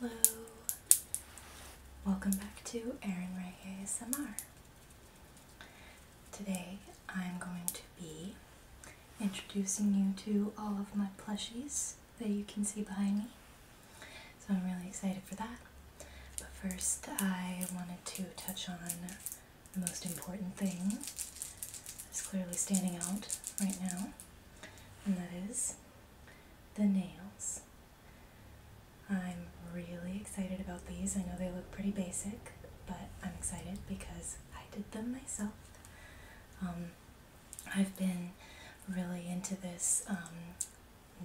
Hello, welcome back to Erin Ray ASMR. Today I'm going to be introducing you to all of my plushies that you can see behind me. So I'm really excited for that. But first, I wanted to touch on the most important thing that's clearly standing out right now, and that is the nails. I'm really excited about these. I know they look pretty basic, but I'm excited because I did them myself. Um, I've been really into this um,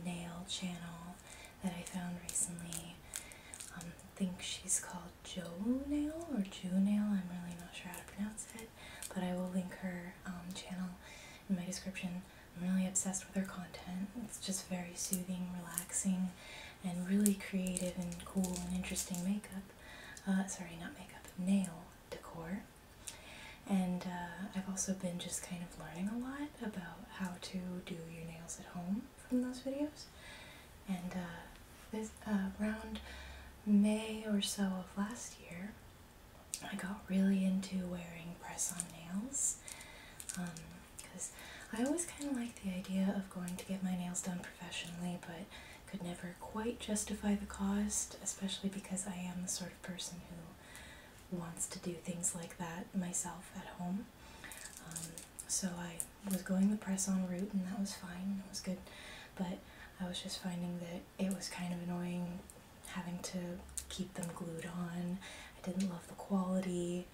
nail channel that I found recently. Um, I think she's called Jo Nail or Jew Nail. I'm really not sure how to pronounce it, but I will link her um, channel in my description. I'm really obsessed with her content. It's just very soothing, relaxing, and really creative and cool and interesting makeup. Uh, sorry, not makeup, nail decor. And uh, I've also been just kind of learning a lot about how to do your nails at home from those videos. And uh, this around May or so of last year, I got really into wearing press on nails because um, I always kind of like the idea of going to get my nails done professionally, but could never quite justify the cost, especially because I am the sort of person who wants to do things like that myself at home. Um, so I was going the press on route, and that was fine, it was good, but I was just finding that it was kind of annoying having to keep them glued on. I didn't love the quality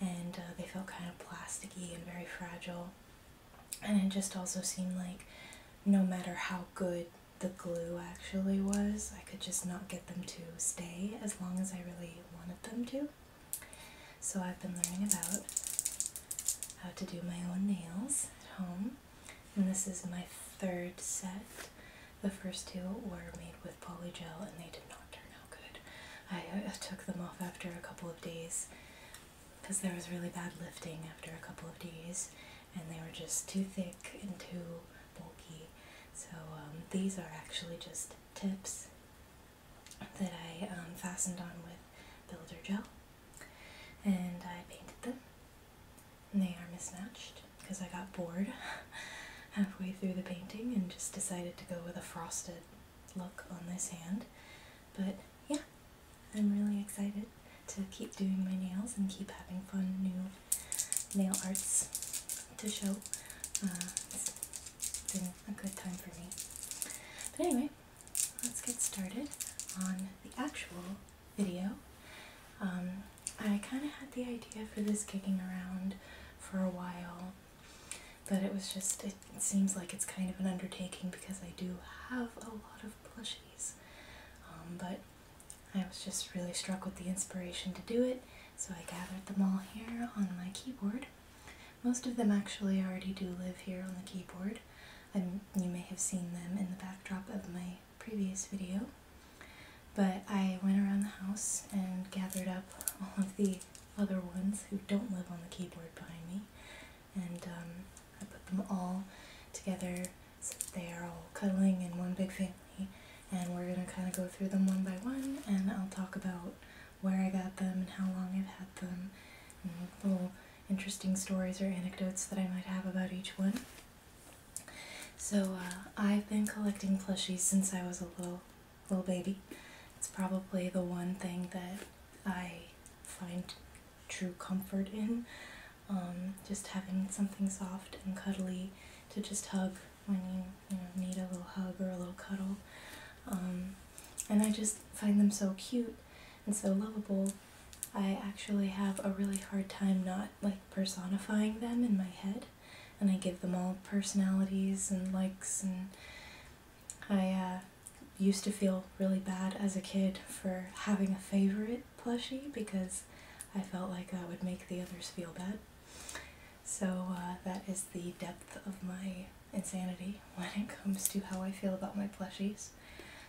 and uh, they felt kind of plasticky and very fragile. And it just also seemed like no matter how good the glue actually was, I could just not get them to stay as long as I really wanted them to. So I've been learning about how to do my own nails at home and this is my third set. The first two were made with polygel and they did not turn out good. I took them off after a couple of days because there was really bad lifting after a couple of days and they were just too thick and too bulky. So um, these are actually just tips that I um, fastened on with builder gel and I painted them and they are mismatched because I got bored halfway through the painting and just decided to go with a frosted look on this hand. But yeah, I'm really excited to keep doing my nails and keep having fun new nail arts to show. Uh, it's been a good time for me. But anyway, let's get started on the actual video. Um, I kind of had the idea for this kicking around for a while, but it was just, it, seems like it's kind of an undertaking because I do have a lot of plushies. Um, but I was just really struck with the inspiration to do it, so I gathered them all here on my keyboard. Most of them actually already do live here on the keyboard, and you may have seen them in the backdrop of my previous video, but I went around the house and gathered up all of the other ones who don't live on the keyboard behind me, and um, I put them all together so they are all cuddling in one big family, and we're gonna kind of go through them one by one, and I'll talk about where I got them and how long I've had them, and little interesting stories or anecdotes that I might have about each one. So uh, I've been collecting plushies since I was a little little baby. It's probably the one thing that I find true comfort in. Um, just having something soft and cuddly to just hug when you, need a little hug or a little cuddle. Um, and I just find them so cute and so lovable I actually have a really hard time not like personifying them in my head, and I give them all personalities and likes. And I uh, used to feel really bad as a kid for having a favorite plushie because I felt like that would make the others feel bad. So uh, that is the depth of my insanity when it comes to how I feel about my plushies.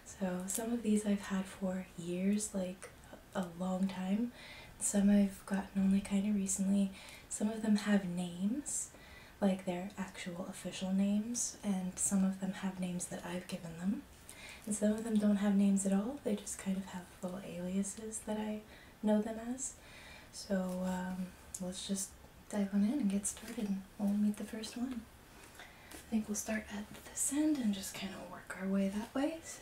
So some of these I've had for years, like a long time. Some I've gotten only kind of recently. Some of them have names, like their actual official names, and some of them have names that I've given them. And some of them don't have names at all, they just kind of have little aliases that I know them as. So um, let's just dive on in and get started. We'll meet the first one. I think we'll start at this end and just kind of work our way that way. So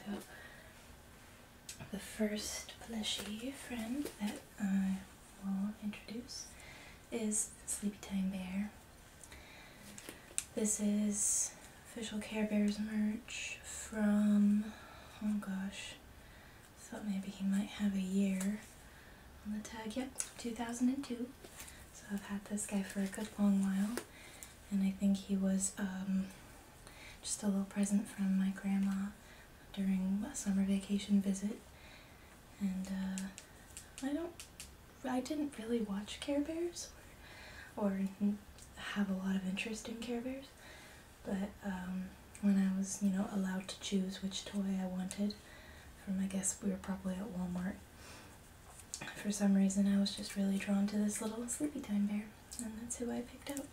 the first plushie friend that I will introduce is Sleepy Time Bear. This is official Care Bears merch from, oh gosh, thought maybe he might have a year on the tag. Yep, 2002. So I've had this guy for a good long while and I think he was um, just a little present from my grandma during a summer vacation visit. And uh, I don't, I didn't really watch Care Bears or, have a lot of interest in Care Bears, but um, when I was, you know, allowed to choose which toy I wanted, from I guess we were probably at Walmart, for some reason I was just really drawn to this little sleepy time bear and that's who I picked out.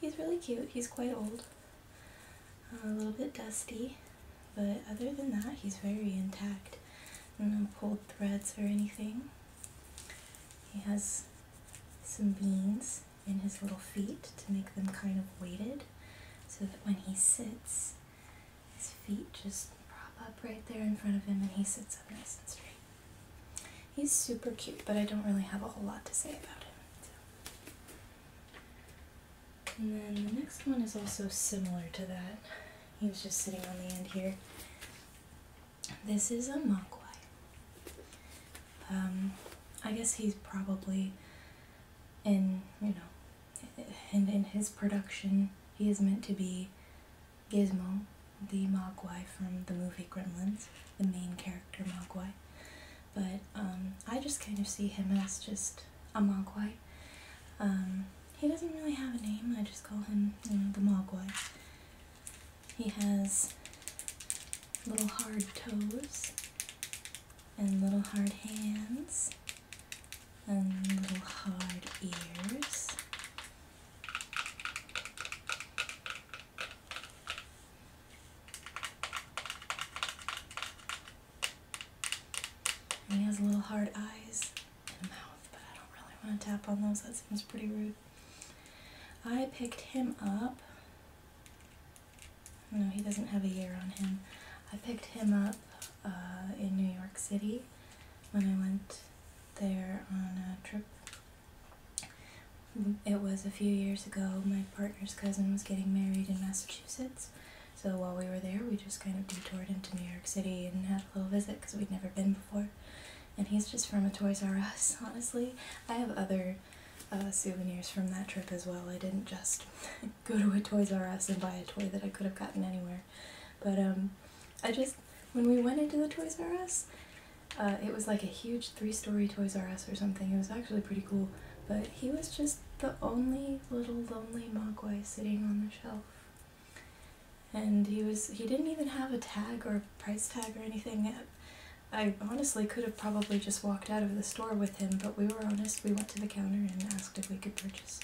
He's really cute. He's quite old. Uh, a little bit dusty, but other than that he's very intact. No pulled threads or anything. He has some beans in his little feet to make them kind of weighted so that when he sits his feet just prop up right there in front of him and he sits up nice and straight. He's super cute, but I don't really have a whole lot to say about him. And then the next one is also similar to that. He was just sitting on the end here. This is a Mogwai. Um, I guess he's probably in, you know, and in his production, he is meant to be Gizmo, the Mogwai from the movie Gremlins, the main character Mogwai. But um, I just kind of see him as just a Mogwai. Um, he doesn't really have a name, I just call him, the Mogwai. He has little hard toes and little hard hands and little hard ears he has little hard eyes and a mouth, but I don't really want to tap on those. That seems pretty rude. I picked him up. No, he doesn't have a year on him. I picked him up uh, in New York City when I went there on a trip it was a few years ago, my partner's cousin was getting married in Massachusetts. So while we were there, we just kind of detoured into New York City and had a little visit because we'd never been before. And he's just from a Toys R Us, honestly. I have other uh, souvenirs from that trip as well. I didn't just go to a Toys R Us and buy a toy that I could have gotten anywhere. But um, I just, when we went into the Toys R Us, uh, it was like a huge three-story Toys R Us or something. It was actually pretty cool, but he was just the only little lonely Mogwai sitting on the shelf. And he was, he didn't even have a tag or a price tag or anything. I honestly could have probably just walked out of the store with him, but we were honest. We went to the counter and asked if we could purchase.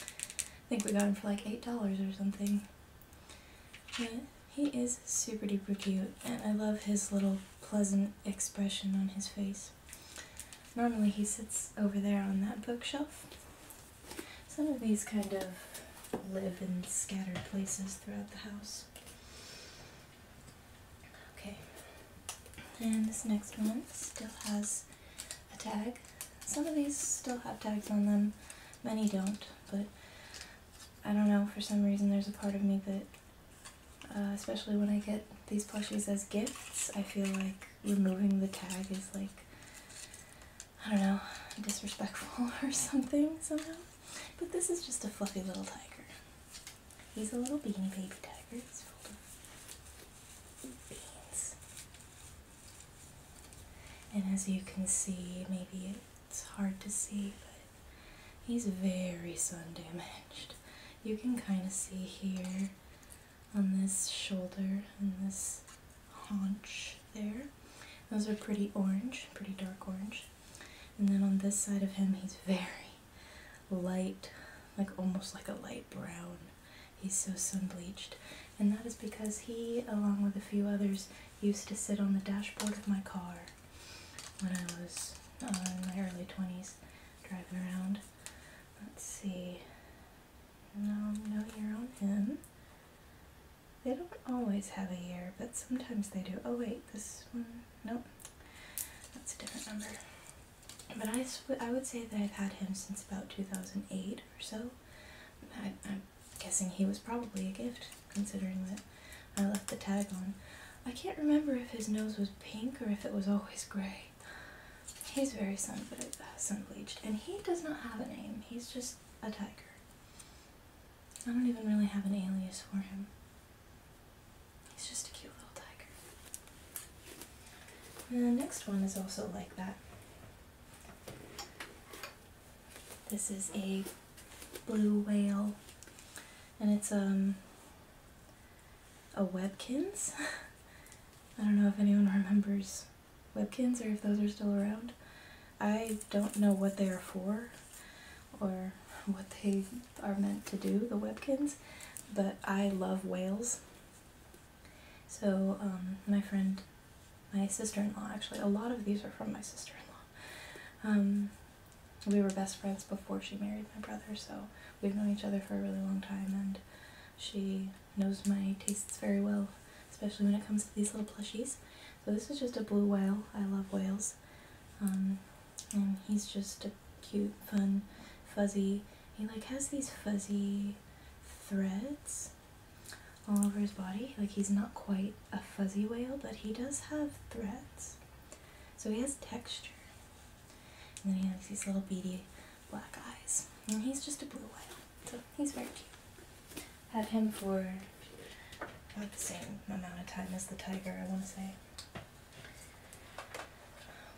I think we got him for like $8 or something he is super duper cute, and I love his little pleasant expression on his face. Normally he sits over there on that bookshelf. Some of these kind of live in scattered places throughout the house. Okay, and this next one still has a tag. Some of these still have tags on them, many don't, but I don't know, for some reason there's a part of me that, uh, especially when I get these plushies as gifts, I feel like removing the tag is like, I don't know, disrespectful or something somehow. But this is just a fluffy little tiger. He's a little beanie baby tiger. He's full of beans. And as you can see, maybe it's hard to see, but he's very sun damaged. You can kind of see here on this shoulder and this haunch there. Those are pretty orange, pretty dark orange. And then on this side of him, he's very light, like almost like a light brown. He's so sun bleached. And that is because he, along with a few others, used to sit on the dashboard of my car when I was uh, in my early 20s driving around. Let's see. No, no year on him. They don't always have a year, but sometimes they do. Oh wait, this one, nope. That's a different number. But I, I would say that I've had him since about 2008 or so guessing he was probably a gift, considering that I left the tag on. I can't remember if his nose was pink or if it was always grey. He's very sun, uh, sun and he does not have a name. He's just a tiger. I don't even really have an alias for him. He's just a cute little tiger. And the next one is also like that. This is a blue whale, and it's um a Webkins. I don't know if anyone remembers Webkins or if those are still around. I don't know what they are for or what they are meant to do, the Webkins, but I love whales. So um, my friend, my sister-in-law actually, a lot of these are from my sister-in-law. Um, we were best friends before she married my brother, so we've known each other for a really long time, and she knows my tastes very well, especially when it comes to these little plushies. So this is just a blue whale. I love whales. Um, and he's just a cute, fun, fuzzy. He like has these fuzzy threads all over his body. Like he's not quite a fuzzy whale, but he does have threads. So he has texture. And then he has these little beady black eyes. And he's just a blue whale. So he's very cute. Had him for about the same amount of time as the tiger, I want to say.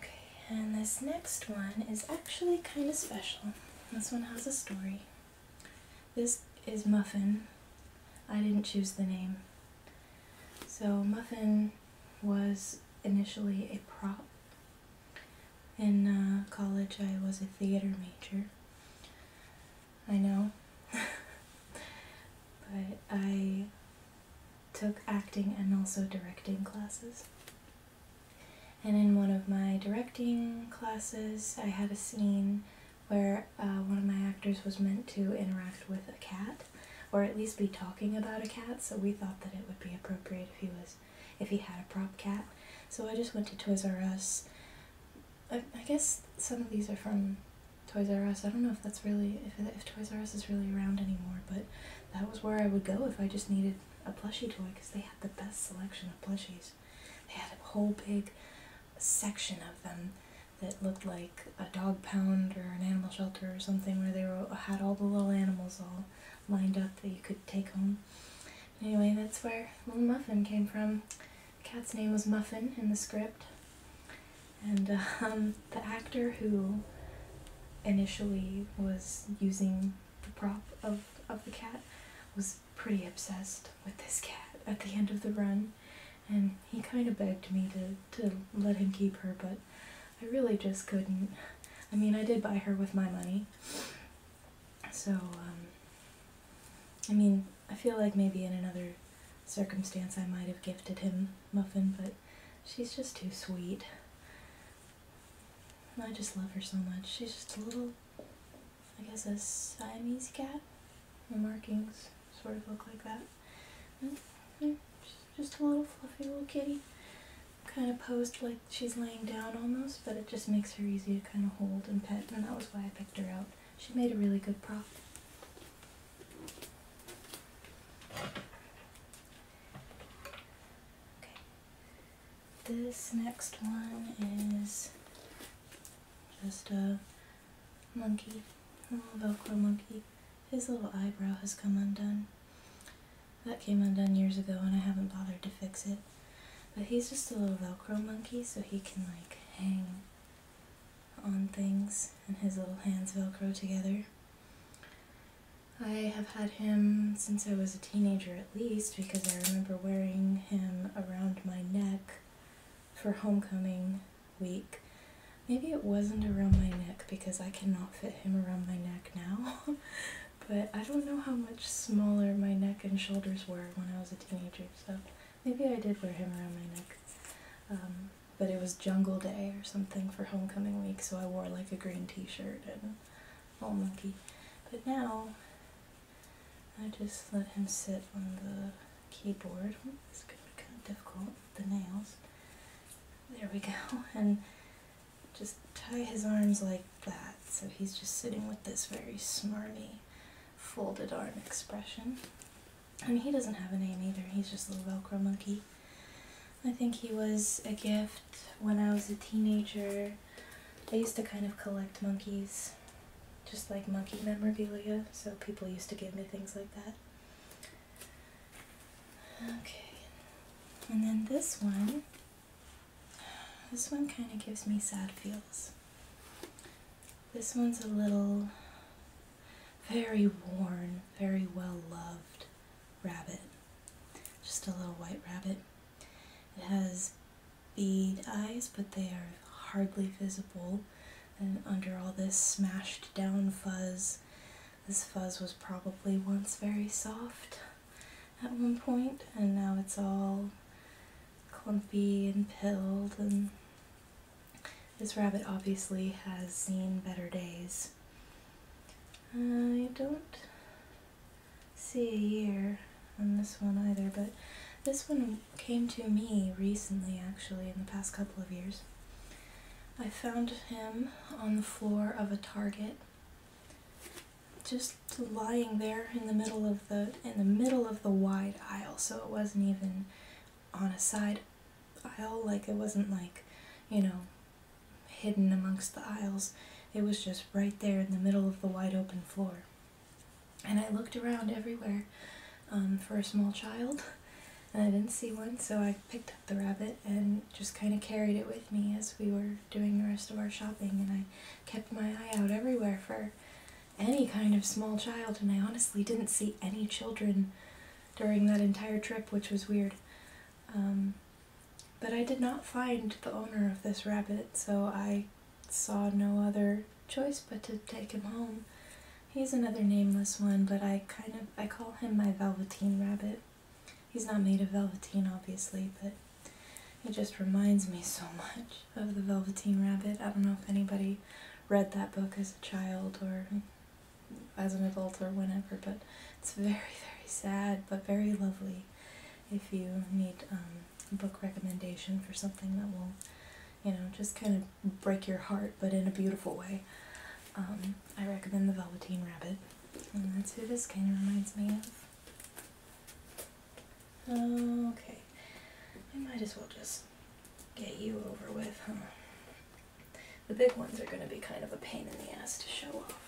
Okay, and this next one is actually kind of special. This one has a story. This is Muffin. I didn't choose the name. So Muffin was initially a prop. In uh, college I was a theater major. I know. but I took acting and also directing classes. And in one of my directing classes, I had a scene where uh, one of my actors was meant to interact with a cat, or at least be talking about a cat. So we thought that it would be appropriate if he was, if he had a prop cat. So I just went to Toys R Us. I, guess some of these are from Toys R Us. I don't know if that's really if if Toys R Us is really around anymore, but that was where I would go if I just needed a plushie toy because they had the best selection of plushies. They had a whole big section of them that looked like a dog pound or an animal shelter or something where they were, had all the little animals all lined up that you could take home. Anyway, that's where Little Muffin came from. The cat's name was Muffin in the script. And um, the actor who initially was using the prop of, of the cat was pretty obsessed with this cat at the end of the run and he kind of begged me to, to let him keep her, but I really just couldn't. I mean, I did buy her with my money, so, um, I mean, I feel like maybe in another circumstance I might have gifted him Muffin, but she's just too sweet. I just love her so much. She's just a little, I guess, a Siamese cat the markings sort of look like that. just a little fluffy little kitty. Kind of posed like she's laying down almost, but it just makes her easy to kind of hold and pet, and that was why I picked her out. She made a really good prop. Okay. This next one is just a monkey, Velcro oh, monkey. His little eyebrow has come undone. That came undone years ago and I haven't bothered to fix it. But he's just a little Velcro monkey so he can like hang on things and his little hands Velcro together. I have had him since I was a teenager at least because I remember wearing him around my neck for homecoming week. Maybe it wasn't around my neck because I cannot fit him around my neck now. but I don't know how much smaller my neck and shoulders were when I was a teenager, so maybe I did wear him around my neck. Um, but it was jungle day or something for homecoming week, so I wore like a green t-shirt and little monkey. But now, I just let him sit on the keyboard. Oh, this gonna be kind of difficult, the nails. There we go. And just tie his arms like that. So he's just sitting with this very smarmy, folded arm expression. And he doesn't have a name either. He's just a little Velcro monkey. I think he was a gift when I was a teenager. I used to kind of collect monkeys, just like monkey memorabilia, so people used to give me things like that. Okay, and then this one, this one kind of gives me sad feels. This one's a little, very worn, very well loved rabbit. Just a little white rabbit. It has bead eyes, but they are hardly visible. And under all this smashed down fuzz, this fuzz was probably once very soft at one point, and now it's all clumpy and pilled. And this rabbit obviously has seen better days. I don't see a year on this one either, but this one came to me recently, actually, in the past couple of years. I found him on the floor of a Target, just lying there in the middle of the in the middle of the wide aisle. So it wasn't even on a side aisle, like it wasn't like, you know, hidden amongst the aisles. It was just right there in the middle of the wide open floor. And I looked around everywhere um, for a small child. And I didn't see one, so I picked up the rabbit and just kind of carried it with me as we were doing the rest of our shopping. And I kept my eye out everywhere for any kind of small child, and I honestly didn't see any children during that entire trip, which was weird. Um, but I did not find the owner of this rabbit, so I saw no other choice but to take him home. He's another nameless one, but I kind of I call him my velveteen rabbit. He's not made of velveteen, obviously, but it just reminds me so much of the Velveteen Rabbit. I don't know if anybody read that book as a child or as an adult or whenever, but it's very, very sad, but very lovely if you need um, a book recommendation for something that will you know, just kind of break your heart, but in a beautiful way. Um, I recommend the Velveteen Rabbit, and that's who this kind of reminds me of. Okay, I might as well just get you over with, huh? The big ones are going to be kind of a pain in the ass to show off.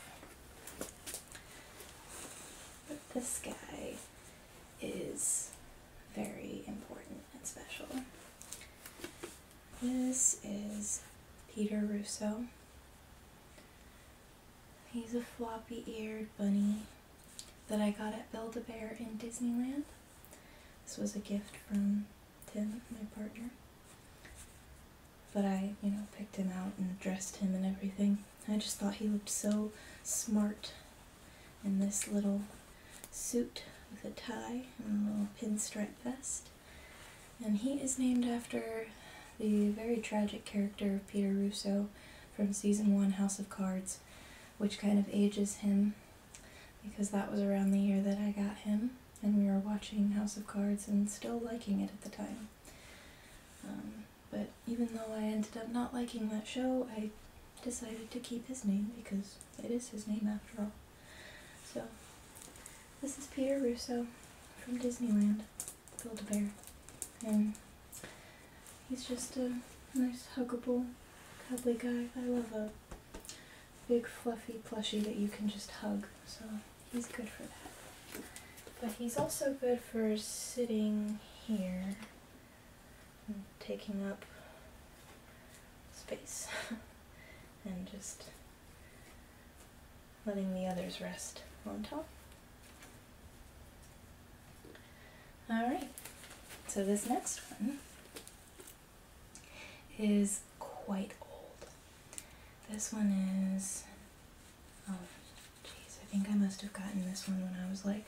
But this guy is very important and special. This is Peter Russo. He's a floppy eared bunny that I got at Build a Bear in Disneyland. This was a gift from Tim, my partner. But I, you know, picked him out and dressed him and everything. I just thought he looked so smart in this little suit with a tie and a little pinstripe vest. And he is named after the very tragic character of Peter Russo from season one House of Cards, which kind of ages him because that was around the year that I got him and we were watching House of Cards and still liking it at the time. Um, but even though I ended up not liking that show, I decided to keep his name because it is his name after all. So, this is Peter Russo from Disneyland, Build a Bear. And he's just a nice, huggable, cuddly guy. I love a big, fluffy plushie that you can just hug. So, he's good for that. But he's also good for sitting here and taking up space. and just letting the others rest on top. Alright, so this next one is quite old. This one is, oh jeez, I think I must have gotten this one when I was like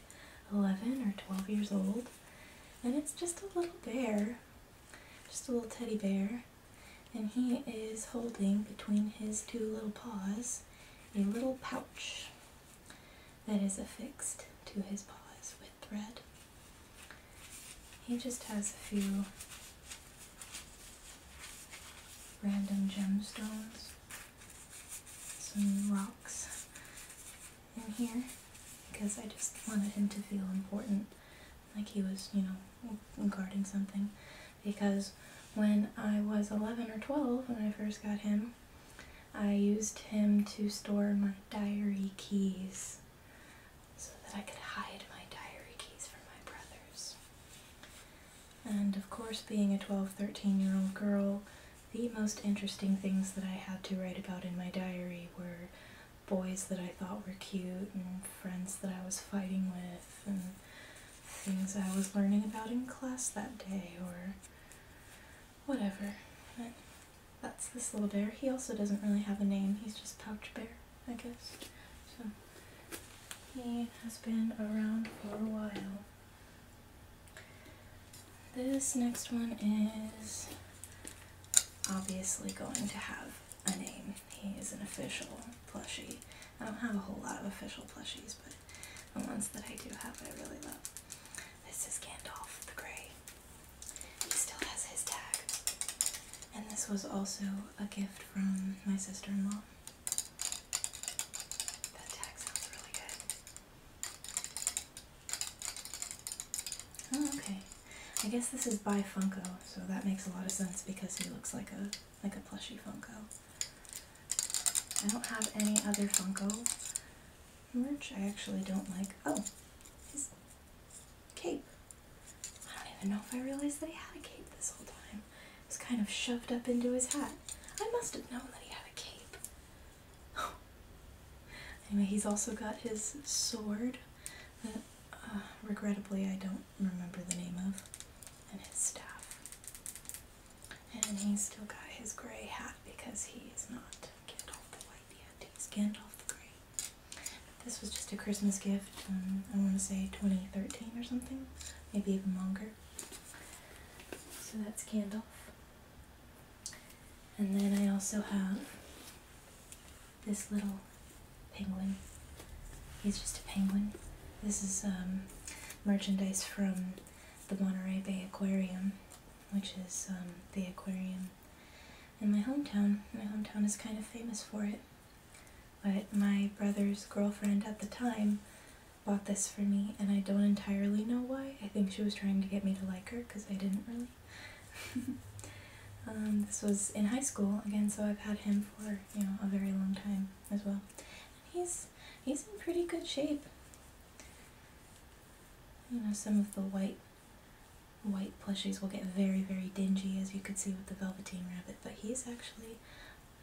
11 or 12 years old. And it's just a little bear just a little teddy bear. And he is holding between his two little paws a little pouch that is affixed to his paws with thread. He just has a few random gemstones, some rocks, in here because I just wanted him to feel important, like he was, you know, guarding something. Because when I was 11 or 12, when I first got him, I used him to store my diary keys so that I could hide my diary keys from my brothers. And of course, being a 12, 13 year old girl, the most interesting things that I had to write about in my diary were boys that I thought were cute and friends that I was fighting with and things I was learning about in class that day or whatever. But that's this little bear. He also doesn't really have a name. He's just Pouch Bear, I guess. So he has been around for a while. This next one is obviously going to have a name. He is an official plushie. I don't have a whole lot of official plushies, but the ones that I do have I really love. This is Gandalf the Grey. He still has his tag. And this was also a gift from my sister-in-law. That tag sounds really good. Oh, okay. I guess this is by Funko, so that makes a lot of sense because he looks like a like a plushy Funko. I don't have any other Funko merch. I actually don't like. Oh, his cape. I don't even know if I realized that he had a cape this whole time. It's kind of shoved up into his hat. I must have known that he had a cape. anyway, he's also got his sword uh, regrettably I don't remember the name of, and his staff. And he's still got his gray hat because he is not Gandalf the White yet. He's Gandalf the Grey. This was just a Christmas gift, um, I want to say 2013 or something, maybe even longer. So that's Gandalf. And then I also have this little penguin. He's just a penguin. This is um, merchandise from the Monterey Bay Aquarium, which is um, the aquarium in my hometown. My hometown is kind of famous for it. But my brother's girlfriend at the time bought this for me, and I don't entirely know why. I think she was trying to get me to like her because I didn't really Um, this was in high school again, so I've had him for you know a very long time as well. And he's he's in pretty good shape. You know, some of the white white plushies will get very very dingy, as you could see with the velveteen rabbit, but he's actually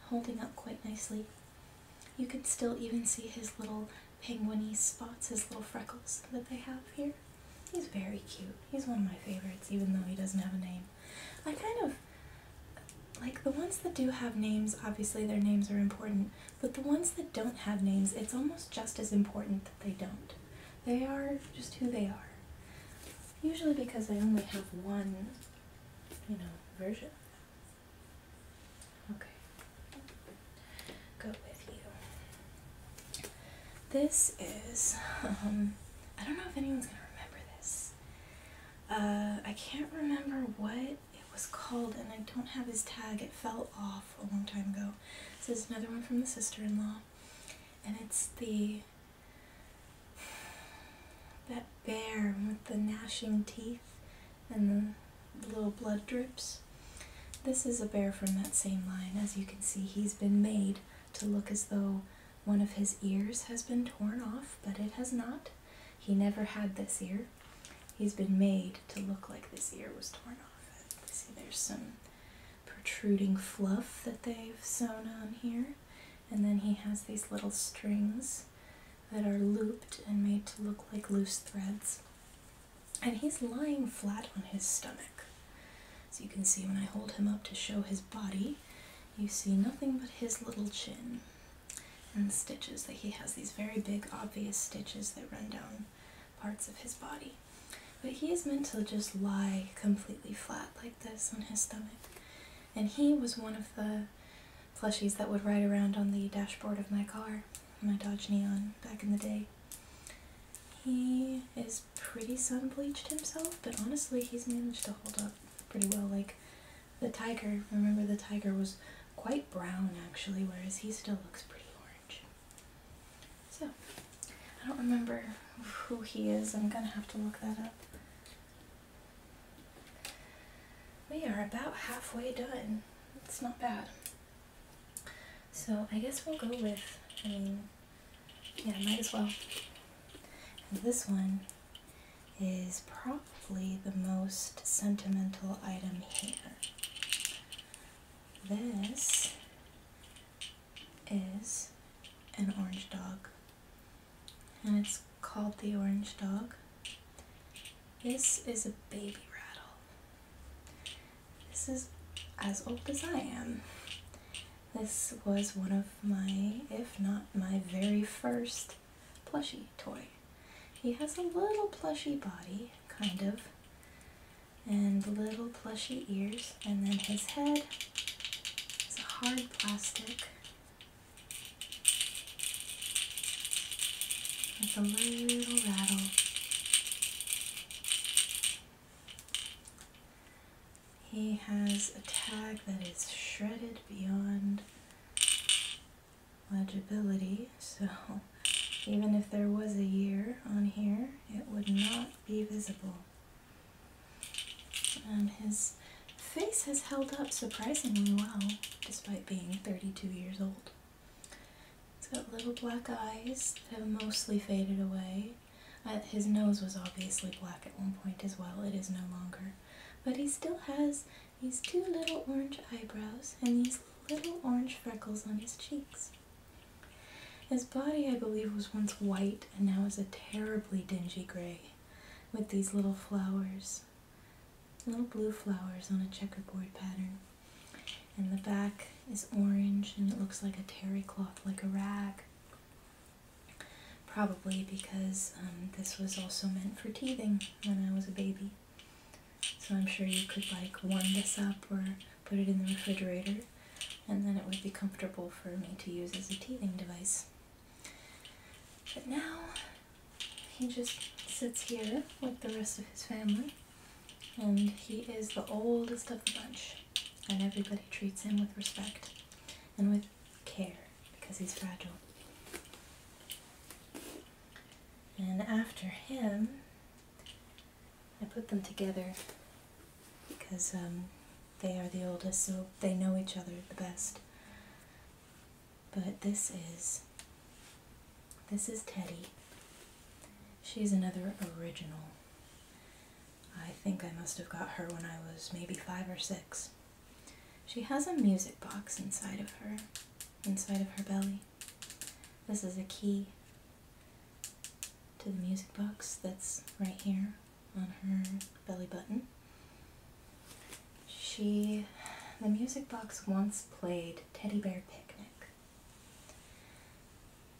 holding up quite nicely. You can still even see his little penguiny spots, his little freckles that they have here. He's very cute. He's one of my favorites, even though he doesn't have a name. I kind of like the ones that do have names, obviously their names are important, but the ones that don't have names, it's almost just as important that they don't. They are just who they are. Usually because I only have one, you know, version. Okay. Go with you. This is, um, I don't know if anyone's going to remember this. Uh, I can't remember what it was called, and I don't have his tag. It fell off a long time ago. This is another one from the sister-in-law, and it's the that bear with the gnashing teeth and the little blood drips. This is a bear from that same line. As you can see, he's been made to look as though one of his ears has been torn off, but it has not. He never had this ear. He's been made to look like this ear was torn off. See, there's some protruding fluff that they've sewn on here. And then he has these little strings that are looped and made to look like loose threads. And he's lying flat on his stomach. So you can see when I hold him up to show his body, you see nothing but his little chin and stitches that he has these very big obvious stitches that run down parts of his body. But he is meant to just lie completely flat like this on his stomach. And he was one of the plushies that would ride around on the dashboard of my car, my Dodge Neon back in the day. He is pretty sun bleached himself, but honestly, he's managed to hold up pretty well. Like the tiger, remember the tiger was quite brown actually, whereas he still looks pretty orange. So, I don't remember who he is. I'm gonna have to look that up. We are about halfway done. It's not bad. So, I guess we'll go with, I mean, yeah, might as well. this one is probably the most sentimental item here. This is an orange dog. And it's called the orange dog. This is a baby rattle. This is as old as I am. This was one of my, if not my very first plushie toy. He has a little plushy body, kind of, and little plushy ears, and then his head is a hard plastic. It's a little rattle. He has a tag that is shredded beyond legibility, so even if there was a year on here, it would not be visible. And um, his face has held up surprisingly well, despite being 32 years old. It's got little black eyes that have mostly faded away, his nose was obviously black at one point as well, it is no longer. But he still has these two little orange eyebrows and these little orange freckles on his cheeks. His body, I believe, was once white and now is a terribly dingy gray with these little flowers, little blue flowers on a checkerboard pattern. And the back is orange and it looks like a terry cloth, like a rag. Probably because um, this was also meant for teething when I was a baby. So I'm sure you could like warm this up or put it in the refrigerator and then it would be comfortable for me to use as a teething device. But now he just sits here with the rest of his family and he is the oldest of the bunch and everybody treats him with respect and with care because he's fragile. And after him, I put them together because um, they are the oldest, so they know each other the best. But this is this is Teddy. She's another original. I think I must have got her when I was maybe five or six. She has a music box inside of her, inside of her belly. This is a key to the music box that's right here on her belly button. She, the music box once played Teddy Bear Picnic,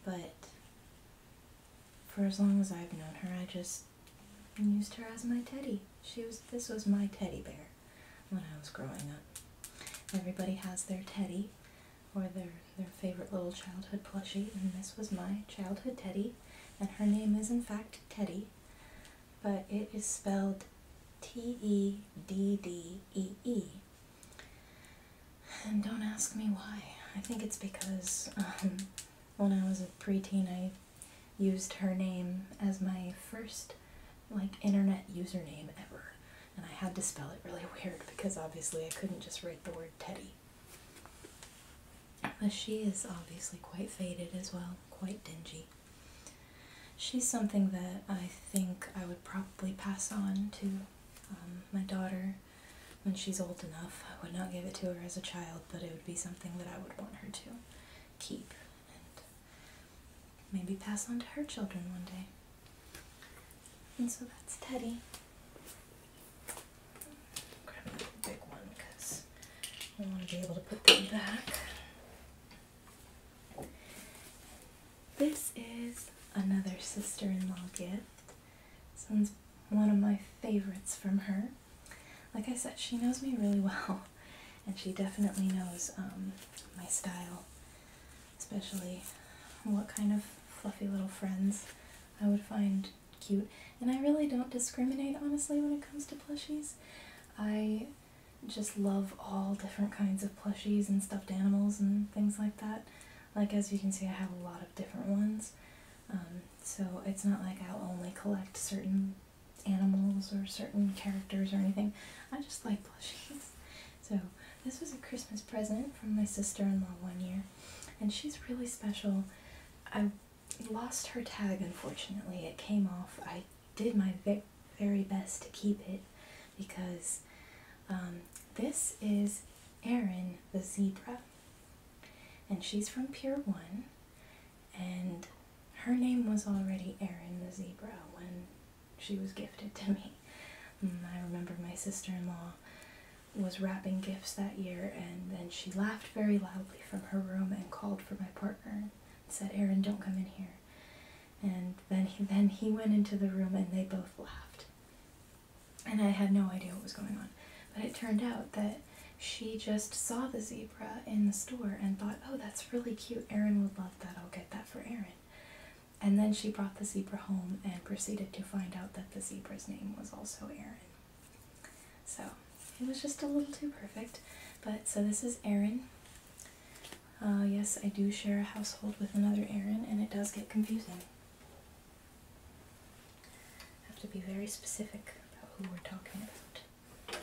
but for as long as I've known her, I just used her as my teddy. She was this was my teddy bear when I was growing up. Everybody has their teddy or their their favorite little childhood plushie, and this was my childhood teddy, and her name is in fact Teddy, but it is spelled T E D D E E. And don't ask me why. I think it's because um, when I was a preteen, I used her name as my first like internet username ever, and I had to spell it really weird because obviously I couldn't just write the word Teddy. But she is obviously quite faded as well, quite dingy. She's something that I think I would probably pass on to um, my daughter when she's old enough. I would not give it to her as a child, but it would be something that I would want her to keep and maybe pass on to her children one day. And so that's Teddy. Grab that big one because I want to be able to put them back. This is another sister-in-law gift. This one's one of my favorites from her like I said, she knows me really well, and she definitely knows um, my style, especially what kind of fluffy little friends I would find cute. And I really don't discriminate, honestly, when it comes to plushies. I just love all different kinds of plushies and stuffed animals and things like that. Like, as you can see, I have a lot of different ones. Um, so it's not like I'll only collect certain animals or certain characters or anything. I just like plushies. So this was a Christmas present from my sister-in-law one year, and she's really special. I lost her tag, unfortunately. It came off. I did my very best to keep it because um, this is Aaron the zebra. And she's from Pier 1, and her name was already Erin the Zebra when she was gifted to me. Mm, I remember my sister in law was wrapping gifts that year, and then she laughed very loudly from her room and called for my partner and said, Aaron, don't come in here. And then then he went into the room and they both laughed. And I had no idea what was going on. But it turned out that she just saw the zebra in the store and thought, oh, that's really cute. Aaron would love that. I'll get that for Aaron." And then she brought the zebra home and proceeded to find out that the zebra's name was also Aaron. So it was just a little too perfect. But so this is Aaron. Uh, yes, I do share a household with another Aaron, and it does get confusing. Have to be very specific about who we're talking about.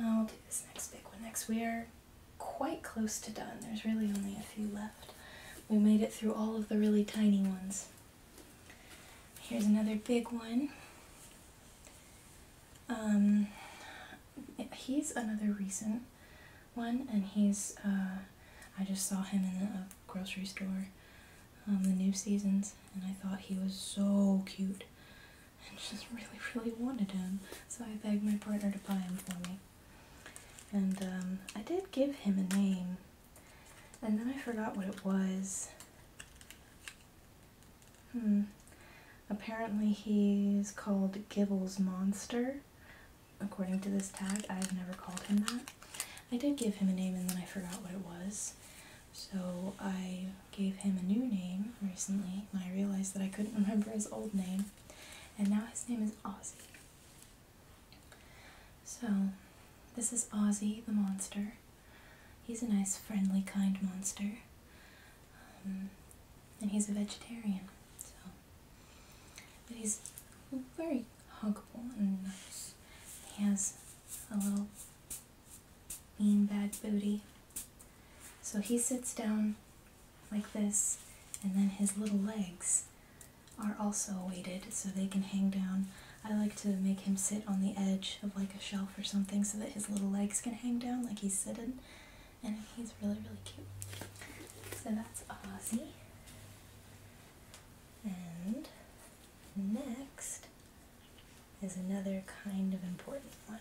I'll do this next big one next. We are quite close to done. There's really only a few left. We made it through all of the really tiny ones. Here's another big one. Um, he's another recent one, and he's, uh, I just saw him in a grocery store um, the new seasons, and I thought he was so cute and just really, really wanted him. So I begged my partner to buy him for me. And um, I did give him a name, and then I forgot what it was. Hmm. Apparently he's called Gibble's Monster. According to this tag, I've never called him that. I did give him a name and then I forgot what it was, so I gave him a new name recently and I realized that I couldn't remember his old name. And now his name is Ozzy. So this is Ozzy the monster. He's a nice, friendly, kind monster. Um, and he's a vegetarian. So, but he's very huggable and nice. He has a little beanbag booty. So he sits down like this, and then his little legs are also weighted so they can hang down. I like to make him sit on the edge of like a shelf or something so that his little legs can hang down like he's sitting. And he's really, really cute. So that's Ozzy. And Next is another kind of important one.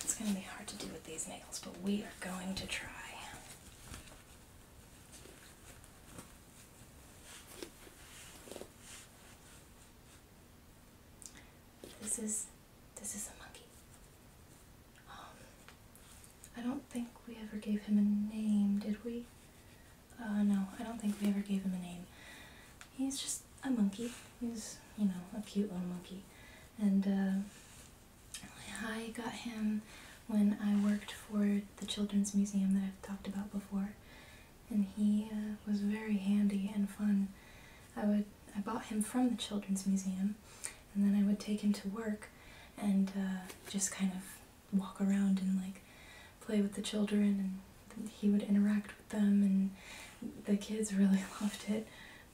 It's going to be hard to do with these nails, but we are going to try. This is this is a monkey. Um, I don't think we ever gave him a name, did we? Uh, no, I don't think we ever gave him a name. He's just a monkey. He's, you know, a cute little monkey. And uh, I got him when I worked for the Children's Museum that I've talked about before. And he uh, was very handy and fun. I would I bought him from the Children's Museum, and then I would take him to work and just kind of walk around and like play with the children and he would interact with them and the kids really loved it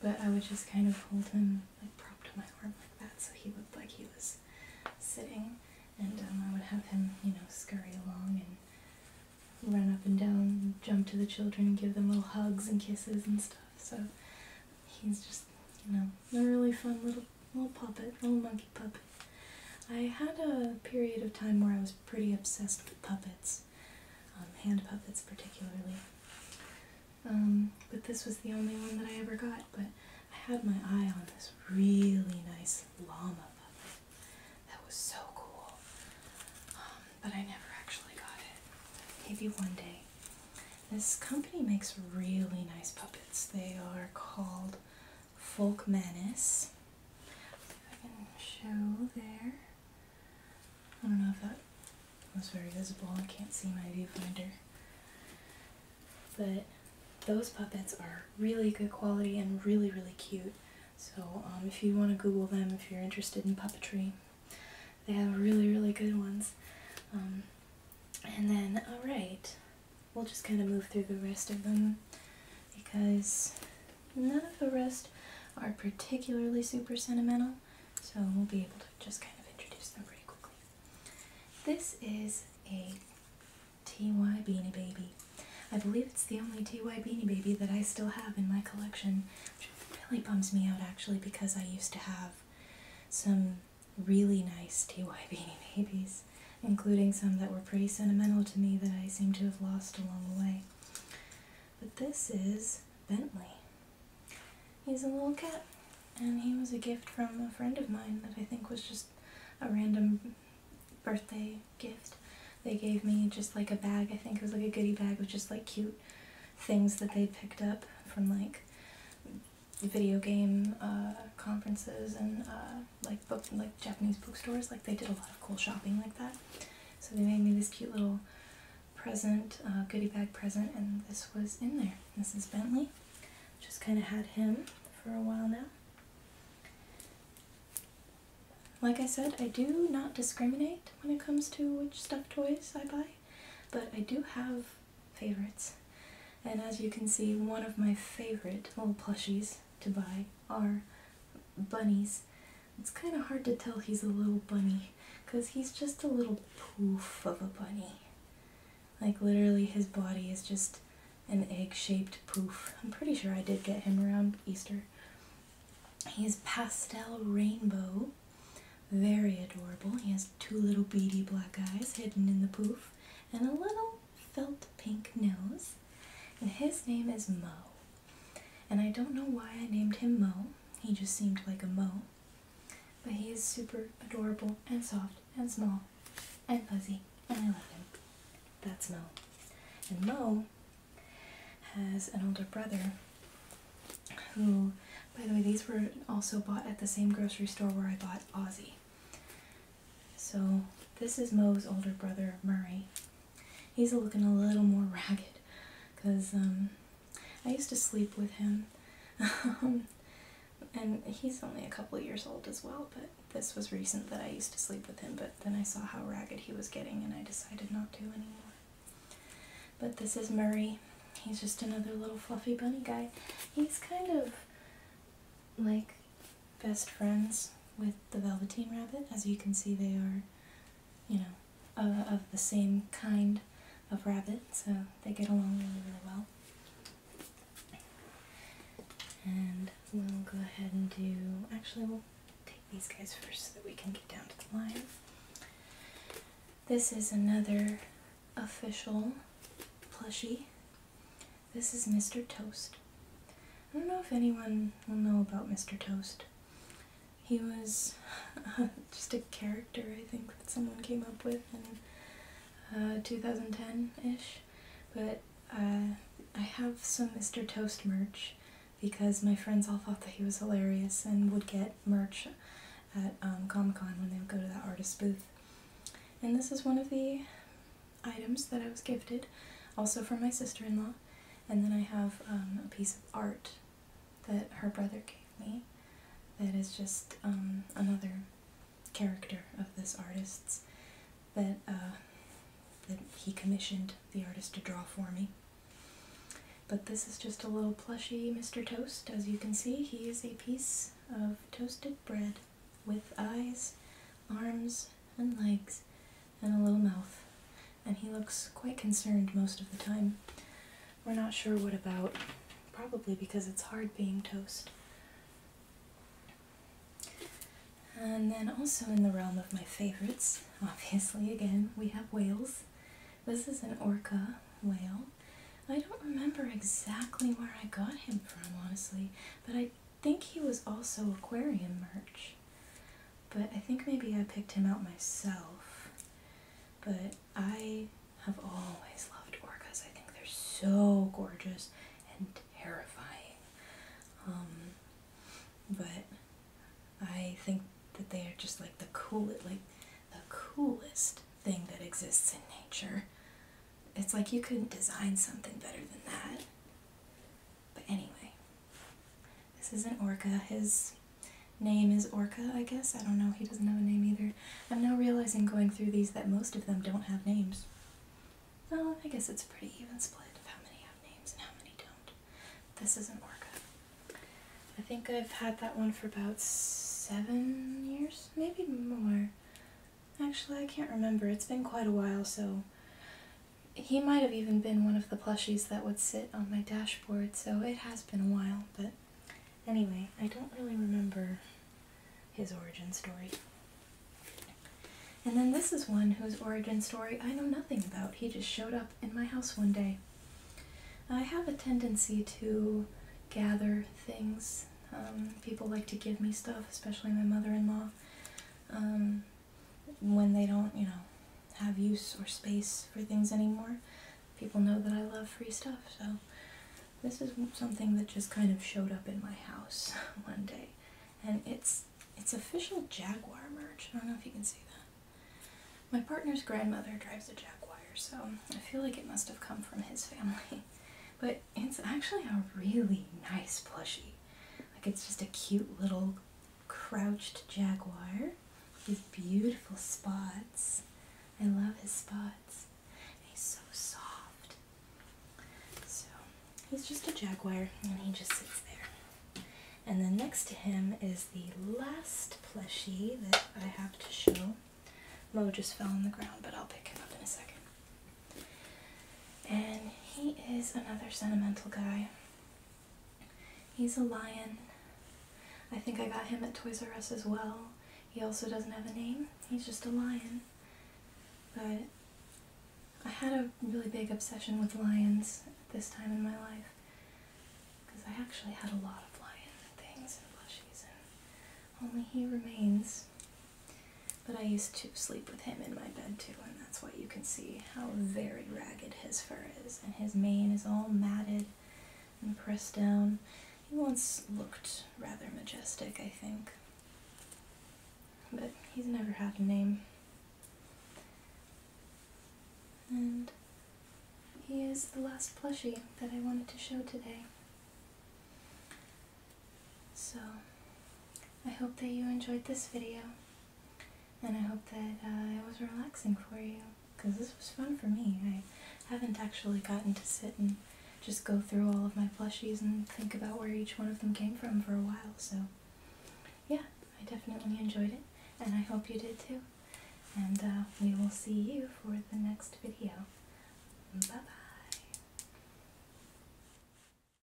but I would just kind of hold him like propped on my arm like that so he looked like he was sitting and um, I would have him you know scurry along and run up and down and jump to the children and give them little hugs and kisses and stuff so he's just you know a really fun little little puppet, little monkey puppet. I had a period of time where I was pretty obsessed with puppets, um, hand puppets particularly. Um, but this was the only one that I ever got. But I had my eye on this really nice llama puppet. That was so cool. Um, but I never actually got it. Maybe one day. This company makes really nice puppets. They are called Folk Menace. I show there. I don't know if that was very visible. I can't see my viewfinder. But those puppets are really good quality and really, really cute. So um, if you want to Google them, if you're interested in puppetry, they have really, really good ones. Um, and then, alright, we'll just kind of move through the rest of them because none of the rest are particularly super sentimental, so we'll be able to just kind of introduce them pretty quickly. This is a TY Beanie Baby. I believe it's the only TY Beanie Baby that I still have in my collection, which really bums me out actually because I used to have some really nice TY Beanie Babies, including some that were pretty sentimental to me that I seem to have lost along the way. But this is Bentley. He's a little cat, and he was a gift from a friend of mine that I think was just a random birthday gift. They gave me just like a bag, I think it was like a goodie bag with just like cute things that they picked up from like video game uh, conferences and uh, like book like Japanese bookstores. Like they did a lot of cool shopping like that. So they made me this cute little present, uh, goodie bag present, and this was in there. This is Bentley. Just kind of had him for a while now. Like I said, I do not discriminate when it comes to which stuffed toys I buy, but I do have favorites. And as you can see, one of my favorite little plushies to buy are bunnies. It's kind of hard to tell he's a little bunny because he's just a little poof of a bunny. Like literally his body is just an egg-shaped poof. I'm pretty sure I did get him around Easter. He's pastel rainbow. Very adorable. He has two little beady black eyes hidden in the poof and a little felt pink nose, and his name is Mo. And I don't know why I named him Mo, he just seemed like a Mo. But he is super adorable and soft and small and fuzzy, and I love him. That's Mo. And Mo has an older brother who, by the way, these were also bought at the same grocery store where I bought Aussie. So this is Moe's older brother, Murray. He's looking a little more ragged because um, I used to sleep with him. Um, and he's only a couple years old as well, but this was recent that I used to sleep with him, but then I saw how ragged he was getting and I decided not to anymore. But this is Murray. He's just another little fluffy bunny guy. He's kind of like best friends with the Velveteen Rabbit. As you can see, they are, you know, of the same kind of rabbit, so they get along really, really well. And we'll go ahead and do... Actually, we'll take these guys first so that we can get down to the line. This is another official plushie. This is Mr. Toast. I don't know if anyone will know about Mr. Toast. He was just a character, I think, that someone came up with in 2010-ish, uh, but uh, I have some Mr. Toast merch because my friends all thought that he was hilarious and would get merch at um, Comic-Con when they would go to that artist booth. And this is one of the items that I was gifted, also from my sister-in-law. And then I have um, a piece of art that her brother gave me that is just um, another character of this artist's that, uh, that he commissioned the artist to draw for me. But this is just a little plushy Mr. Toast. As you can see, he is a piece of toasted bread with eyes, arms, and legs, and a little mouth, and he looks quite concerned most of the time. We're not sure what about, probably because it's hard being toast. And then also in the realm of my favorites, obviously again, we have whales. This is an orca whale. I don't remember exactly where I got him from, honestly, but I think he was also aquarium merch, but I think maybe I picked him out myself. But I have always loved orcas. I think they're so gorgeous and terrifying. Um, but I think that they are just like the coolest, like the coolest thing that exists in nature. It's like you couldn't design something better than that. But anyway, this is an orca. His name is Orca, I guess. I don't know. He doesn't have a name either. I'm now realizing going through these that most of them don't have names. Well, I guess it's pretty even split of how many have names and how many don't. This is an orca. I think I've had that one for about seven years, maybe more. Actually, I can't remember. It's been quite a while, so he might have even been one of the plushies that would sit on my dashboard, so it has been a while, but anyway, I don't really remember his origin story. And then this is one whose origin story I know nothing about. He just showed up in my house one day. I have a tendency to gather things. Um, people like to give me stuff, especially my mother-in-law um, when they don't, you know, have use or space for things anymore. People know that I love free stuff, so this is something that just kind of showed up in my house one day, and it's it's official Jaguar merch. I don't know if you can see that. My partner's grandmother drives a Jaguar, so I feel like it must have come from his family. But it's actually a really nice plushie. Like it's just a cute little crouched jaguar. These beautiful spots. I love his spots. he's so soft. So he's just a jaguar and he just sits there. And then next to him is the last plushie that I have to show. Mo just fell on the ground, but I'll pick him up in a second. And he is another sentimental guy. He's a lion. I think I got him at Toys R Us as well. He also doesn't have a name. He's just a lion. But I had a really big obsession with lions at this time in my life. Because I actually had a lot of lion things and plushies and only he remains. But I used to sleep with him in my bed too, and that's why you can see how very ragged his fur is, and his mane is all matted and pressed down. He once looked rather majestic, I think. But he's never had a name. And he is the last plushie that I wanted to show today. So I hope that you enjoyed this video and I hope that uh, it was relaxing for you because this was fun for me. I haven't actually gotten to sit and just go through all of my plushies and think about where each one of them came from for a while. So yeah, I definitely enjoyed it and I hope you did too. And uh, we will see you for the next video. Bye-bye.